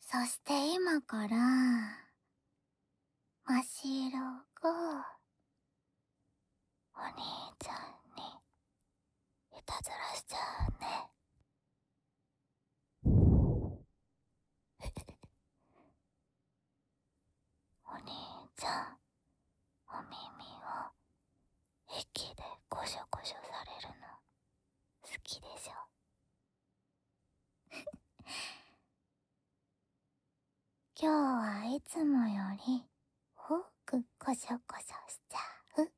そして今から、ましろが、お兄ちゃんに、いたずらしちゃうね。お兄ちゃん、お耳を、息でこしょこしょされるの。好きでしょ 今日はいつもより多くこしョこしョしちゃう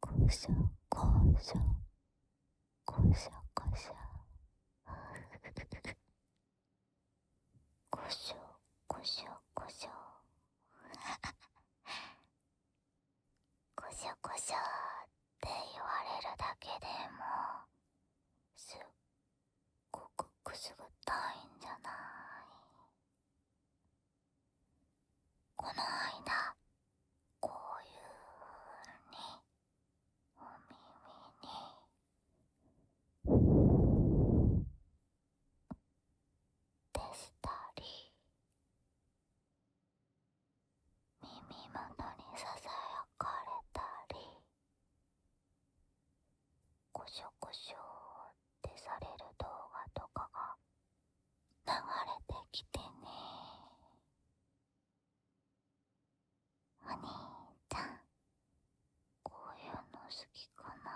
コショコショ コショコショこしょこしょこしょこしょこしょって言われるだけでもすっごくくすぐったいんじゃないこの間こういうふうにお耳にでしたり耳元にささやかれたりしょョしょョってされる動画とかが流れてきてねお兄ちゃんこういうの好きかな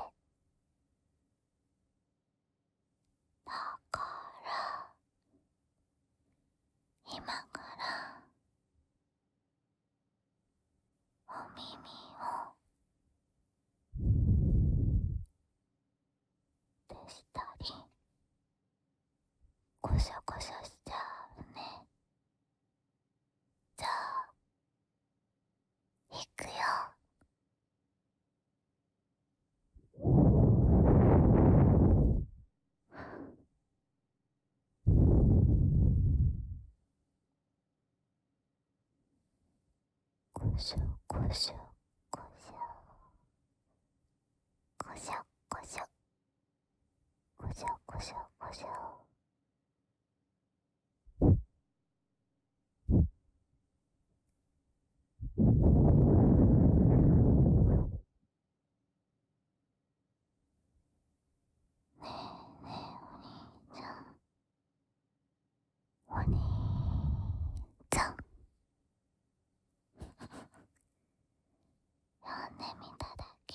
ーってだから今からお耳をでしたりゴしャゴしャしちゃうねじゃあいくよ。こしょこしょこしょこしょこしょこしょこしょこしょお兄ちゃん呼んでみただけ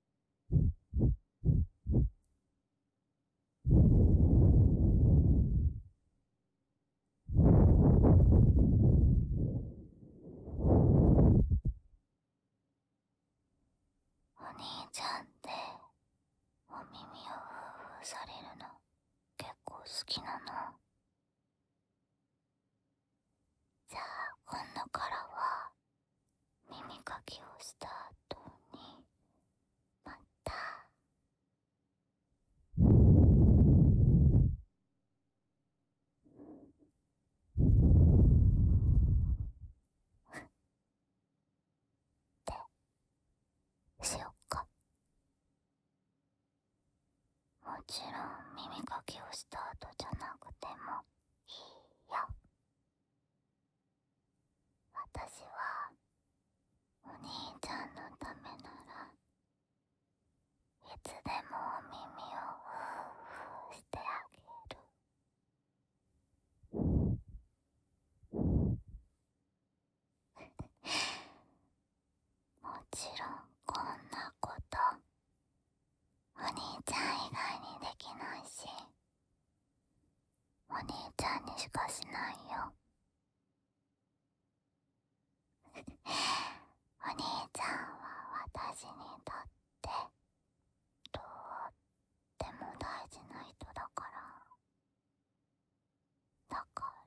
お兄ちゃんってお耳をふーふーされるの結構好きなのじゃあ今度からは耳かきをした後にまたってしよっかもちろん耳かきをした後じゃなくてもいいよ。私はお兄ちゃんのためならいつでもお耳をふうふうしてあげる。もちろんこんなことお兄ちゃん以外にできないしお兄ちゃんにしかしないよ お兄ちゃんは私にとってとっても大事な人だからだか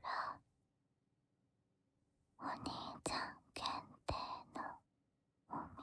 らお兄ちゃん限定のお耳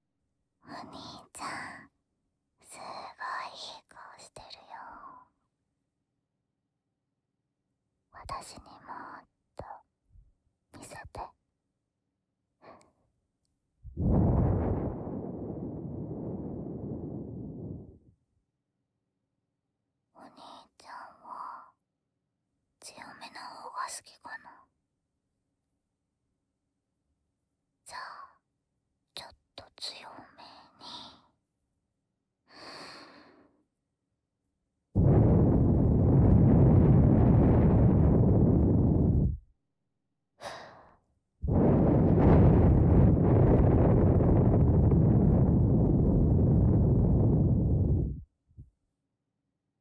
お兄ちゃんすごいいい顔してるよ私にもっと見せて。お兄ちゃんは強めな方が好きかなじゃあちょっと強めに。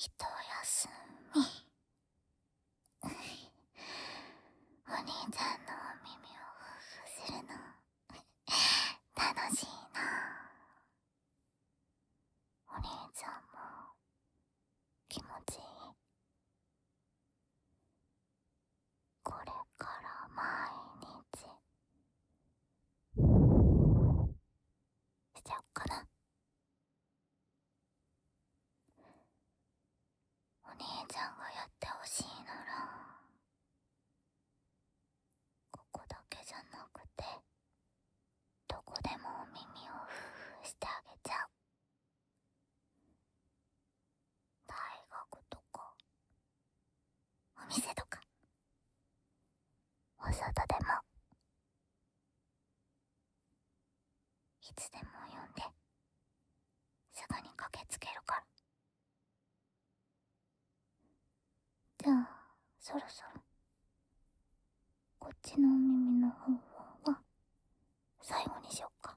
ひと休みお兄ちゃんのお耳をふふするの楽しいなお兄ちゃんも気持ちいいこれから毎日しちゃおっかなお兄ちゃんがやってほしいならここだけじゃなくてどこでもお耳をふーふーしてあげちゃう大学とかお店とかお外でもいつでも呼んですぐに駆けつけるからじゃあそろそろこっちのお耳の方は最後にしよっか。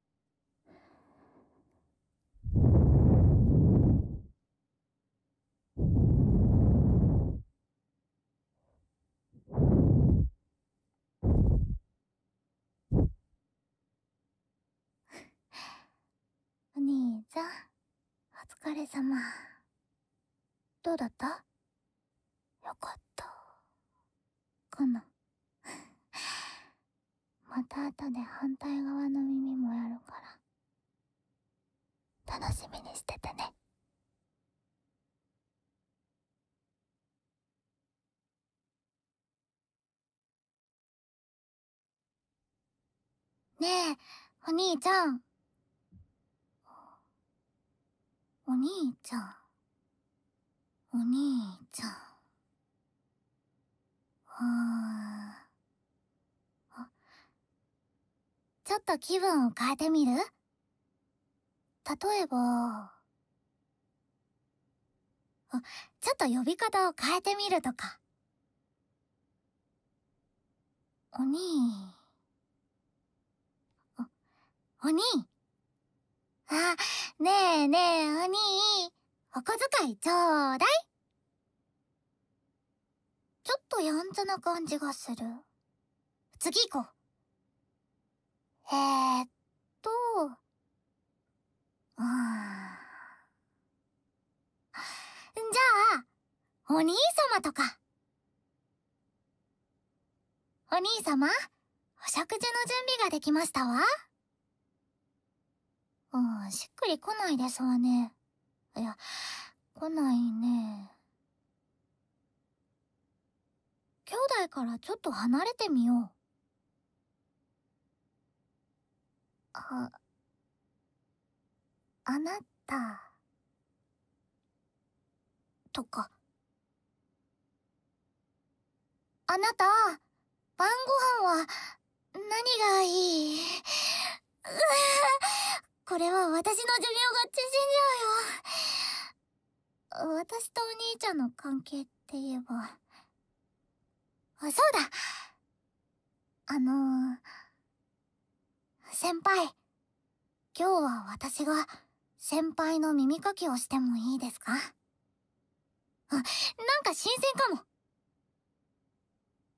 お兄ちゃんお疲れ様どうだったよかったかなまた後で反対側の耳もやるから楽しみにしててねねえお兄ちゃんお兄ちゃんお兄ちゃん。はーちょっと気分を変えてみる例えば、ちょっと呼び方を変えてみるとか。お兄。お兄あ、ねえねえ、お兄。お小遣いちょうだい。ちょっとやんちゃな感じがする。次行こう。えっと、うん。じゃあ、お兄様とか。お兄様、お食事の準備ができましたわ。うん、しっくり来ないですわね。いや、来ないね。兄弟からちょっと離れてみよう。あ、あなた、とか。あなた、晩ご飯は、何がいいうわ、これは私の寿命が縮んじゃうよ。私とお兄ちゃんの関係って言えば。そうだあの先輩、今日は私が先輩の耳かきをしてもいいですかあ、なんか新鮮かも。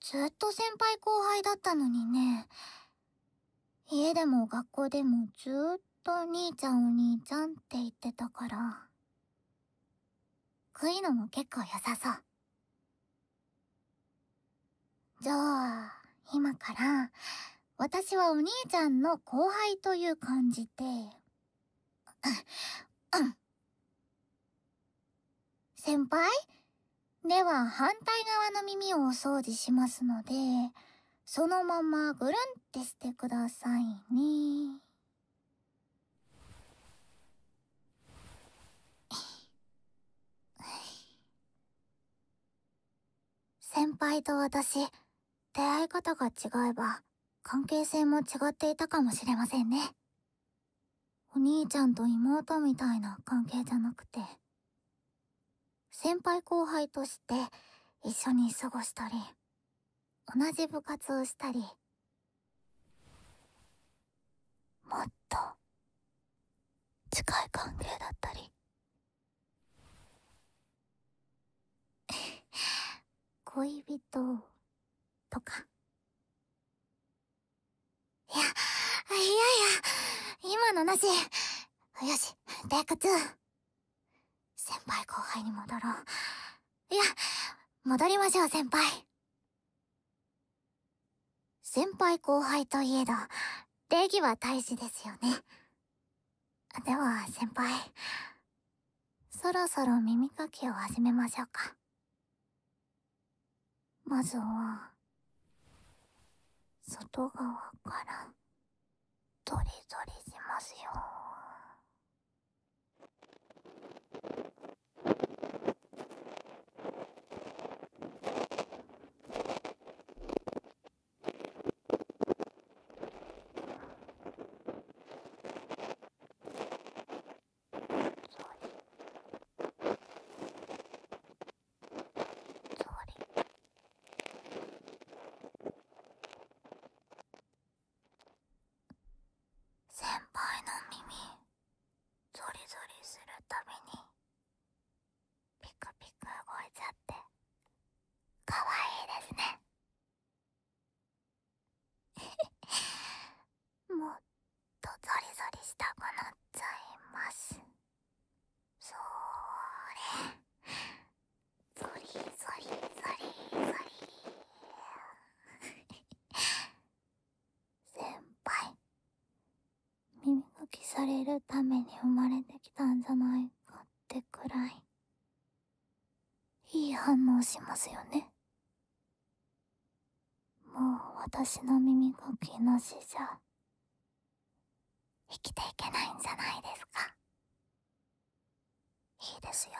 ずっと先輩後輩だったのにね。家でも学校でもずっとお兄ちゃんお兄ちゃんって言ってたから。悔いのも結構良さそう。じゃあ、今から、私はお兄ちゃんの後輩という感じで、うん先輩では反対側の耳をお掃除しますのでそのままぐるんってしてくださいね。先輩と私出会い方が違えば関係性も違っていたかもしれませんね。お兄ちゃんと妹みたいな関係じゃなくて、先輩後輩として一緒に過ごしたり、同じ部活をしたり、もっと近い関係だったり。恋人とか。いや、いやいや、今のなし。よし、テイク2。先輩後輩に戻ろう。いや、戻りましょう先輩。先輩後輩といえど、礼儀は大事ですよね。では、先輩。そろそろ耳かきを始めましょうか。まずは、外側から、ドりドりしますよ。先輩の耳ゾリゾリするたびにピクピク動いちゃってかわいいですね。もっとザリザリしたくなっちゃいますそれザリザリザリザリ先輩耳抜きされるために生まれてきたんじゃないかってくらいいい反応しますよねもう私の耳かきのしじゃ生きていけないんじゃないですかいいですよ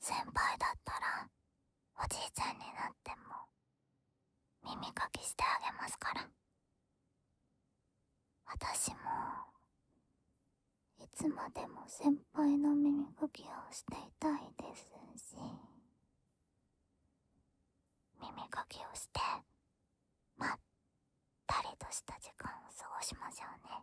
先輩だったらおじいちゃんになっても耳かきしてあげますから私もいつまでも先輩の耳かきをしていたいですし耳かきをしてまったりとした時間を過ごしましょうね。っ、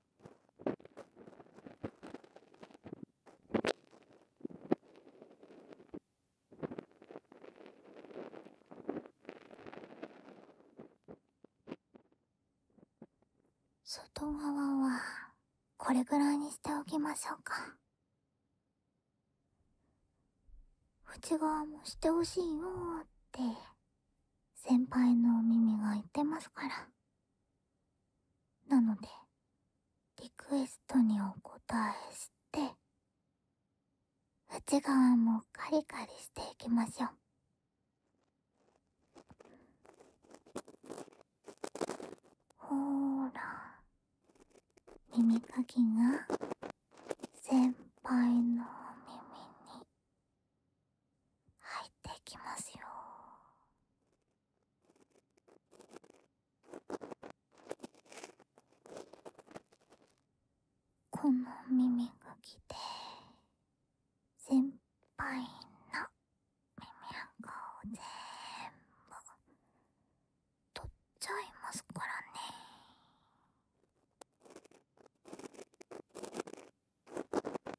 外側はこれぐらいにしておきましょうか内側もしてほしいよって先輩のお耳が言ってますからなのでリクエストにお答えして内側もカリカリしていきましょう。ほーら耳かきが先輩の耳に入ってきますよこの耳がきで先輩の耳垢を全部取っちゃいますからね。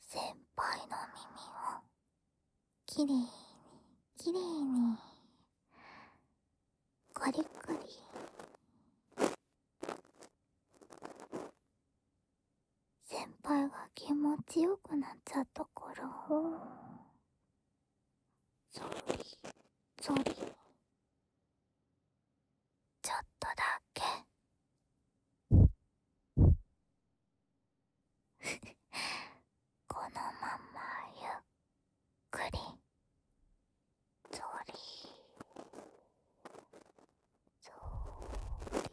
先輩の耳をきれいにきれいにコリコリ先輩が気持ちよくなっちゃったからをそりそりちょっとだけこのままゆっくりぞり…ぞり…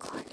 コリコリ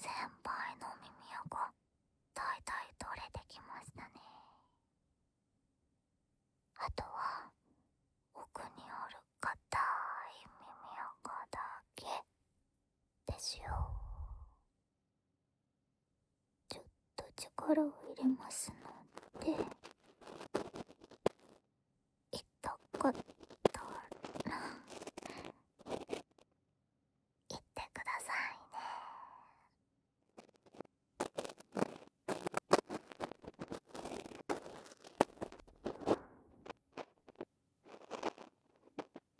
先輩の耳横だいたい取れてきましたねあとは奥にある硬い耳横だけですよちょっと力を入れますので痛かったら言ってくださいね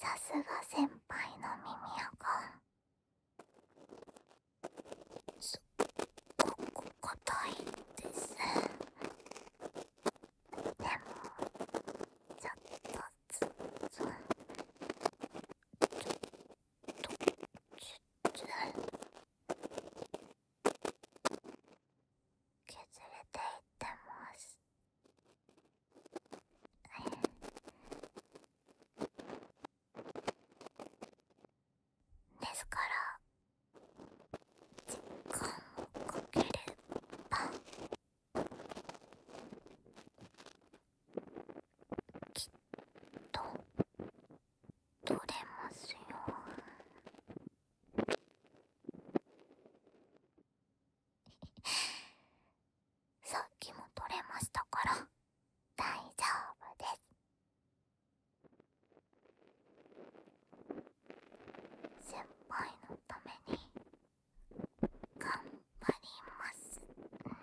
さすが先輩の耳垢すっごく硬いですでもちょっとつつちょっときつ削れていってますですから時間をかければきっと取れますよ さっきも取れましたから大丈夫です先輩のために頑張りますね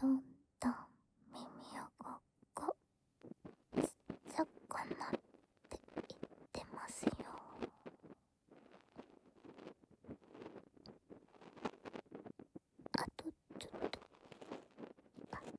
どんどん耳をこっこちっちゃくなっていってますよあとちょっとあ、がんばれ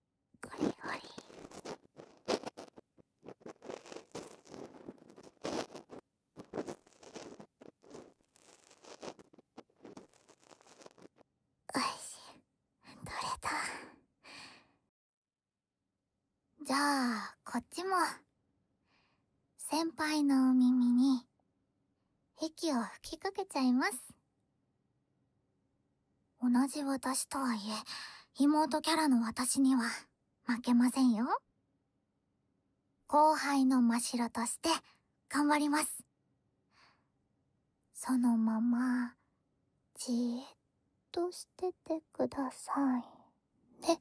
ゴリゴリおいしい取れたじゃあこっちも先輩のお耳に息を吹きかけちゃいます同じ私とはいえ、妹キャラの私には負けませんよ。後輩のましろとして頑張ります。そのまま、じっとしててくださいね。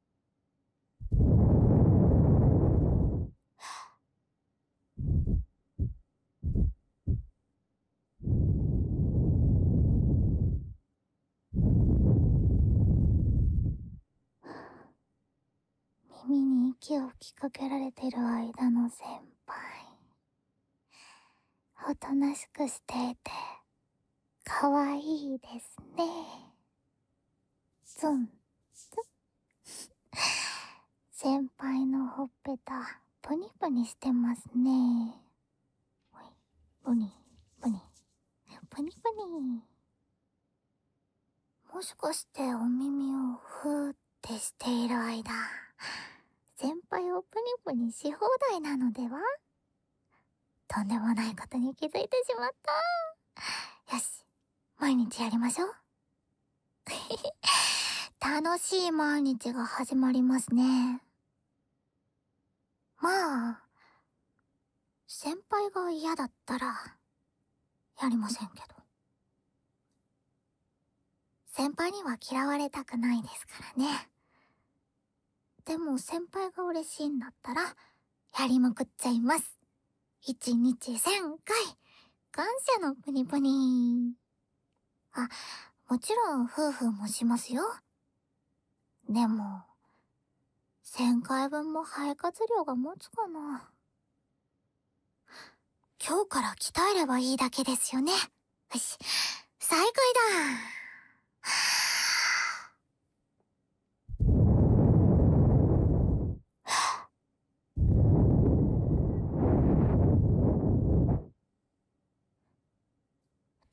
は耳に息を吹きかけられてる間の先輩おとなしくしていてかわいいですねツンツン 先輩のほっぺたプニプニしてますねプニプニプニプニもしかしてお耳をふーってしている間先輩をプニプニし放題なのではとんでもないことに気づいてしまった。よし、毎日やりましょう。楽しい毎日が始まりますね。まあ、先輩が嫌だったら、やりませんけど。先輩には嫌われたくないですからね。でも先輩が嬉しいんだったら、やりまくっちゃいます。一日1000回、感謝のプニプニ。あ、もちろん夫婦もしますよ。でも、1000回分も肺活量が持つかな。今日から鍛えればいいだけですよね。よし、再開だ。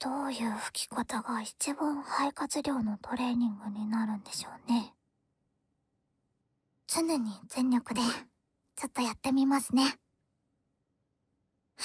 どういう吹き方が一番肺活量のトレーニングになるんでしょうね。常に全力で、ちょっとやってみますね。は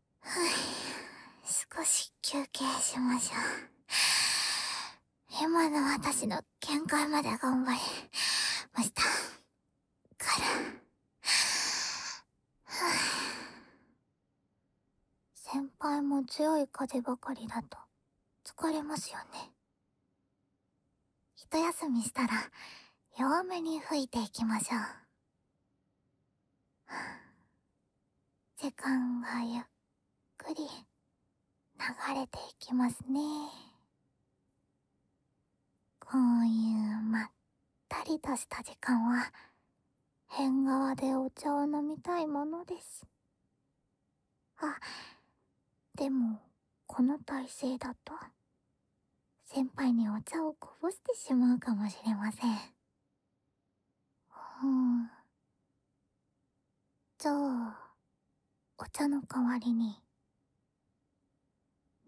少し休憩しましょう。今の私の限界まで頑張りました。から。先輩も強い風ばかりだと疲れますよね。一休みしたら弱めに吹いていきましょう。時間がゆっくり流れていきますねこういうまったりとした時間は縁側でお茶を飲みたいものですあでもこの体勢だと先輩にお茶をこぼしてしまうかもしれませんうんじゃあお茶の代わりに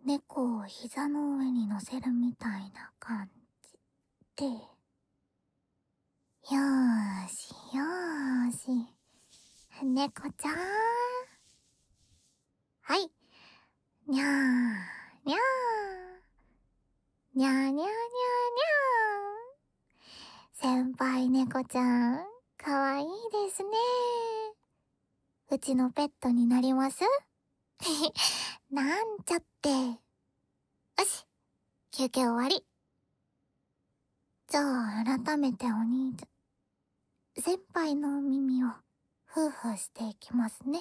猫を膝の上に乗せるみたいな感じでよーしよーし猫ちゃんはいにゃーにゃーにゃーにゃーにゃーにゃー。先輩猫ちゃん、かわいいですね。うちのペットになります なんちゃって。よし、休憩終わり。じゃあ、改めてお兄ちゃん、先輩の耳を、ふうふうしていきますね。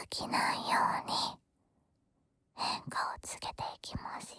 飽きないように変化をつけていきますよ。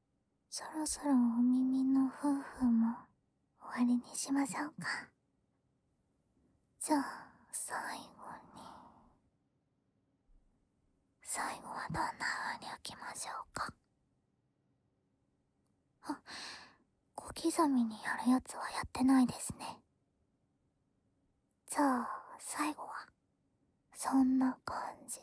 そろそろお耳の夫婦も終わりにしましょうかじゃあ最後に最後はどんな風に置きましょうかあ小刻みにやるやつはやってないですねじゃあ最後はそんな感じで。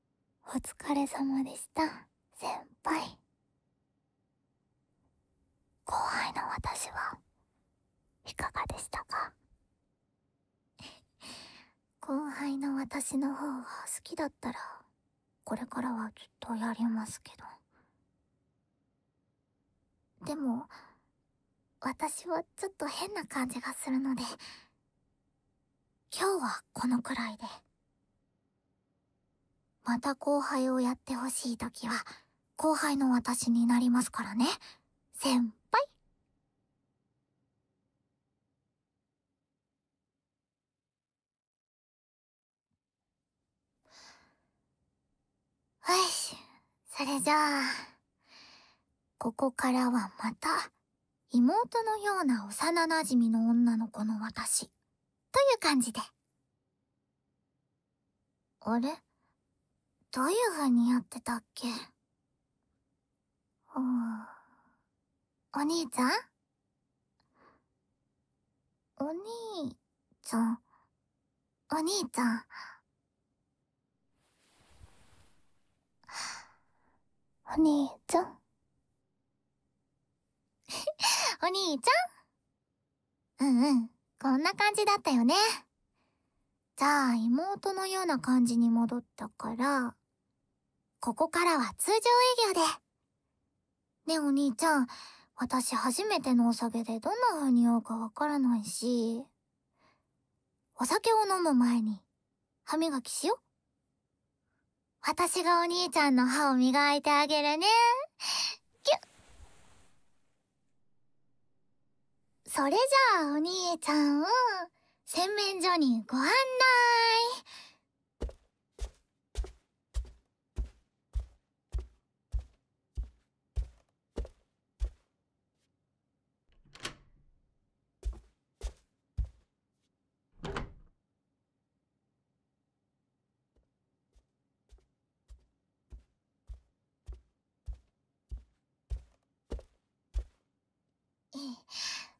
お疲れ様でした先輩後輩の私はいかがでしたか 後輩の私の方が好きだったらこれからはきっとやりますけどでも私はちょっと変な感じがするので今日はこのくらいでまた後輩をやってほしいときは、後輩の私になりますからね、先輩。よし、それじゃあ、ここからはまた、妹のような幼馴染の女の子の私、という感じで。あれどういう風にやってたっけお兄ちゃんお兄ちゃん、お兄ちゃん。お兄ちゃん。お兄ちゃんうんうん、こんな感じだったよね。じゃあ、妹のような感じに戻ったから、ここからは通常営業で。ねえお兄ちゃん、私初めてのお酒でどんな風に酔うかわからないし、お酒を飲む前に、歯磨きしよ私がお兄ちゃんの歯を磨いてあげるね。ぎゅそれじゃあお兄ちゃん、を洗面所にご案内。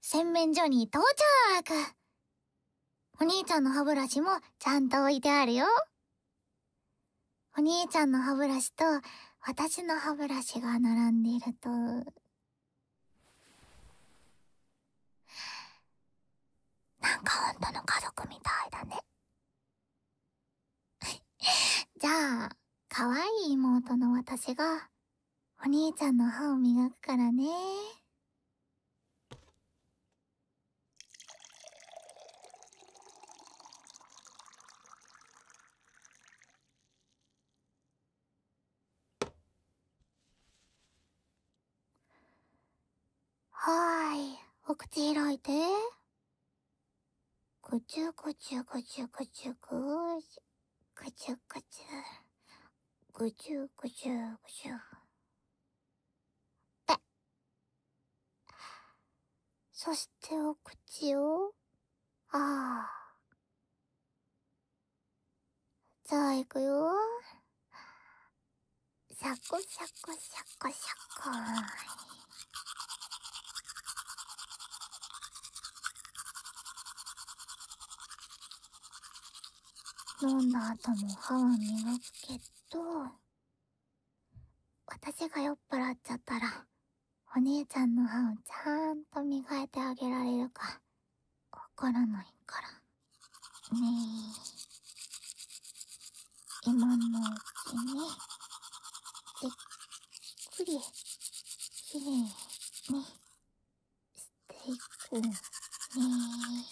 洗面所に到着お兄ちゃんの歯ブラシもちゃんと置いてあるよ。お兄ちゃんの歯ブラシと私の歯ブラシが並んでいると、なんかほんとの家族みたいだね じゃあ可愛い妹の私がお兄ちゃんの歯を磨くからね はーい、お口開いて。ぐちゅぐちゅぐちゅぐちゅぐちゅ、ぐちゅぐちゅ、ぐちゅぐちゅぐちゅ。ぺ。そしてお口を、ああ。じゃあいくよシャコシャコシャコシャコ飲んだ後も歯を磨くけど、私が酔っ払っちゃったら、お姉ちゃんの歯をちゃんと磨いてあげられるか、わからないから。ねえ。今のうちに、ゆっくり、きれいに、していくねえ。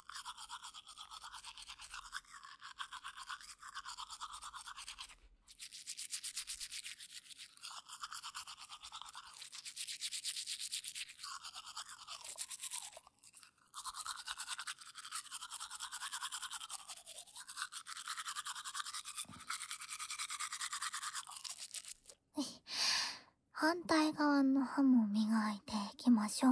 反対側の歯も磨いていきましょう。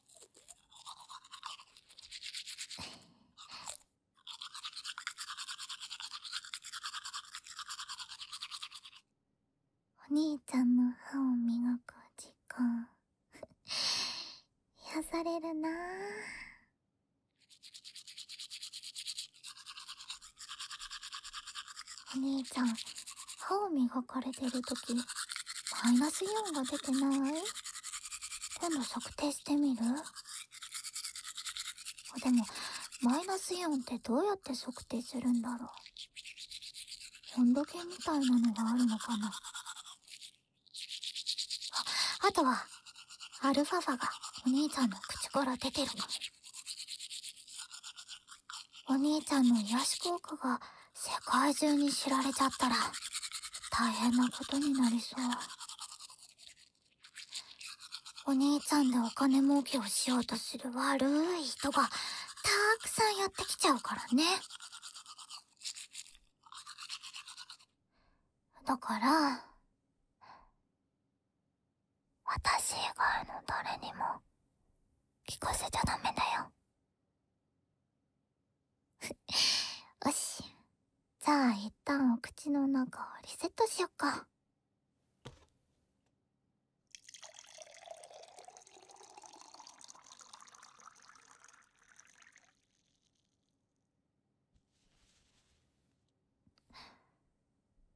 お兄ちゃんの歯を磨く時間 癒されるなぁお兄ちゃん歯を磨く。測れてるとき、マイナスイオンが出てない今度測定してみるでも、マイナスイオンってどうやって測定するんだろう温度計みたいなのがあるのかなあ、あとは、アルファファがお兄ちゃんの口から出てるかも。お兄ちゃんの癒やし効果が世界中に知られちゃったら大変なことになりそう。お兄ちゃんでお金儲けをしようとする悪い人がたくさんやってきちゃうからね。だから、私以外の誰にも聞かせちゃダメだよ。よし。じゃあ一旦お口の中をリセットしよっか。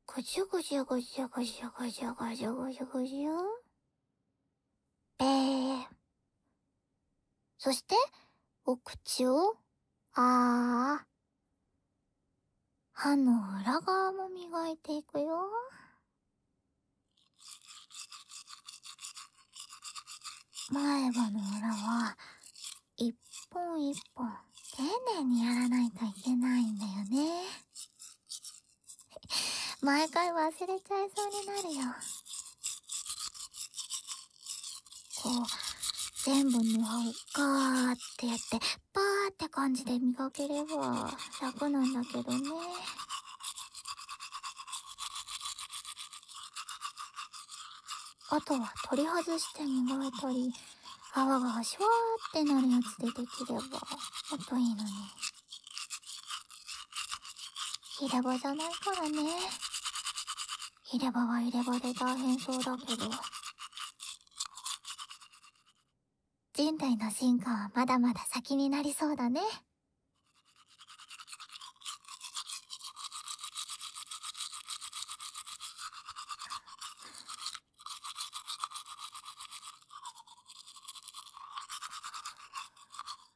ごじゅごじゅごじゅごじゅごじゅごじゅごじゅごじゅべー。そして、お口を、あー。歯の裏側も磨いていくよ。前歯の裏は、一本一本、丁寧にやらないといけないんだよね。毎回忘れちゃいそうになるよ。こう、全部磨歯をガーってやって、パーって感じで磨ければ楽なんだけどね。あとは取り外して磨いたり、泡がシュワーってなるやつでできれば、もっといいのに。ヒれバじゃないからね。ヒれバは入れ歯で大変そうだけど。人類の進化はまだまだ先になりそうだね。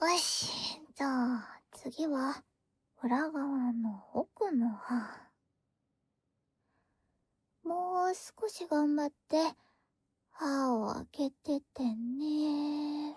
よし、じゃあ、次は、裏側の奥の歯。もう少し頑張って、歯を開けててね。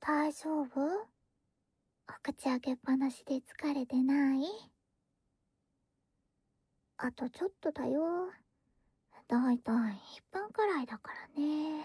大丈夫お口開けっぱなしで疲れてないあとちょっとだよ。だいたい1分くらいだからね。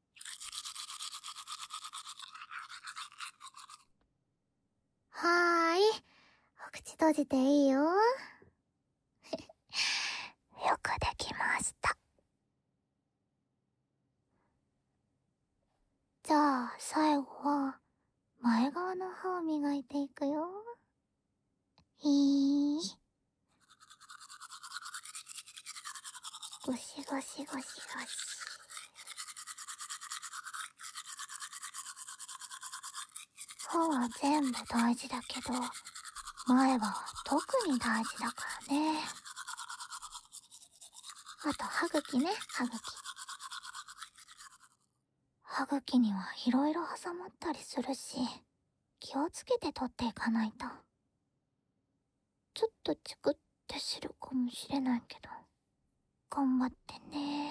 はーい。お口閉じていいよ。よくできました。じゃあ、最後は、前側の歯を磨いていくよ。いー。ゴシゴシゴシゴシ。歯は全部大事だけど、前歯は特に大事だからね。あと歯茎ね、歯茎。歯茎にはいろいろ挟まったりするし、気をつけて取っていかないと。ちょっとチクってするかもしれないけど、頑張ってね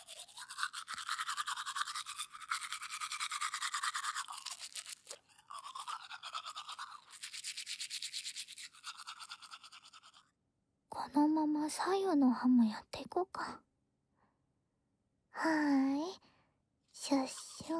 このまま左右の歯もやっていこうかはーいシュッシュー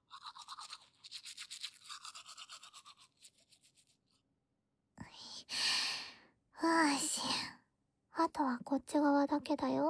よしあとはこっち側だけだよ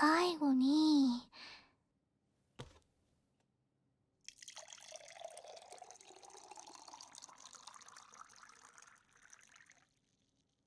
最後に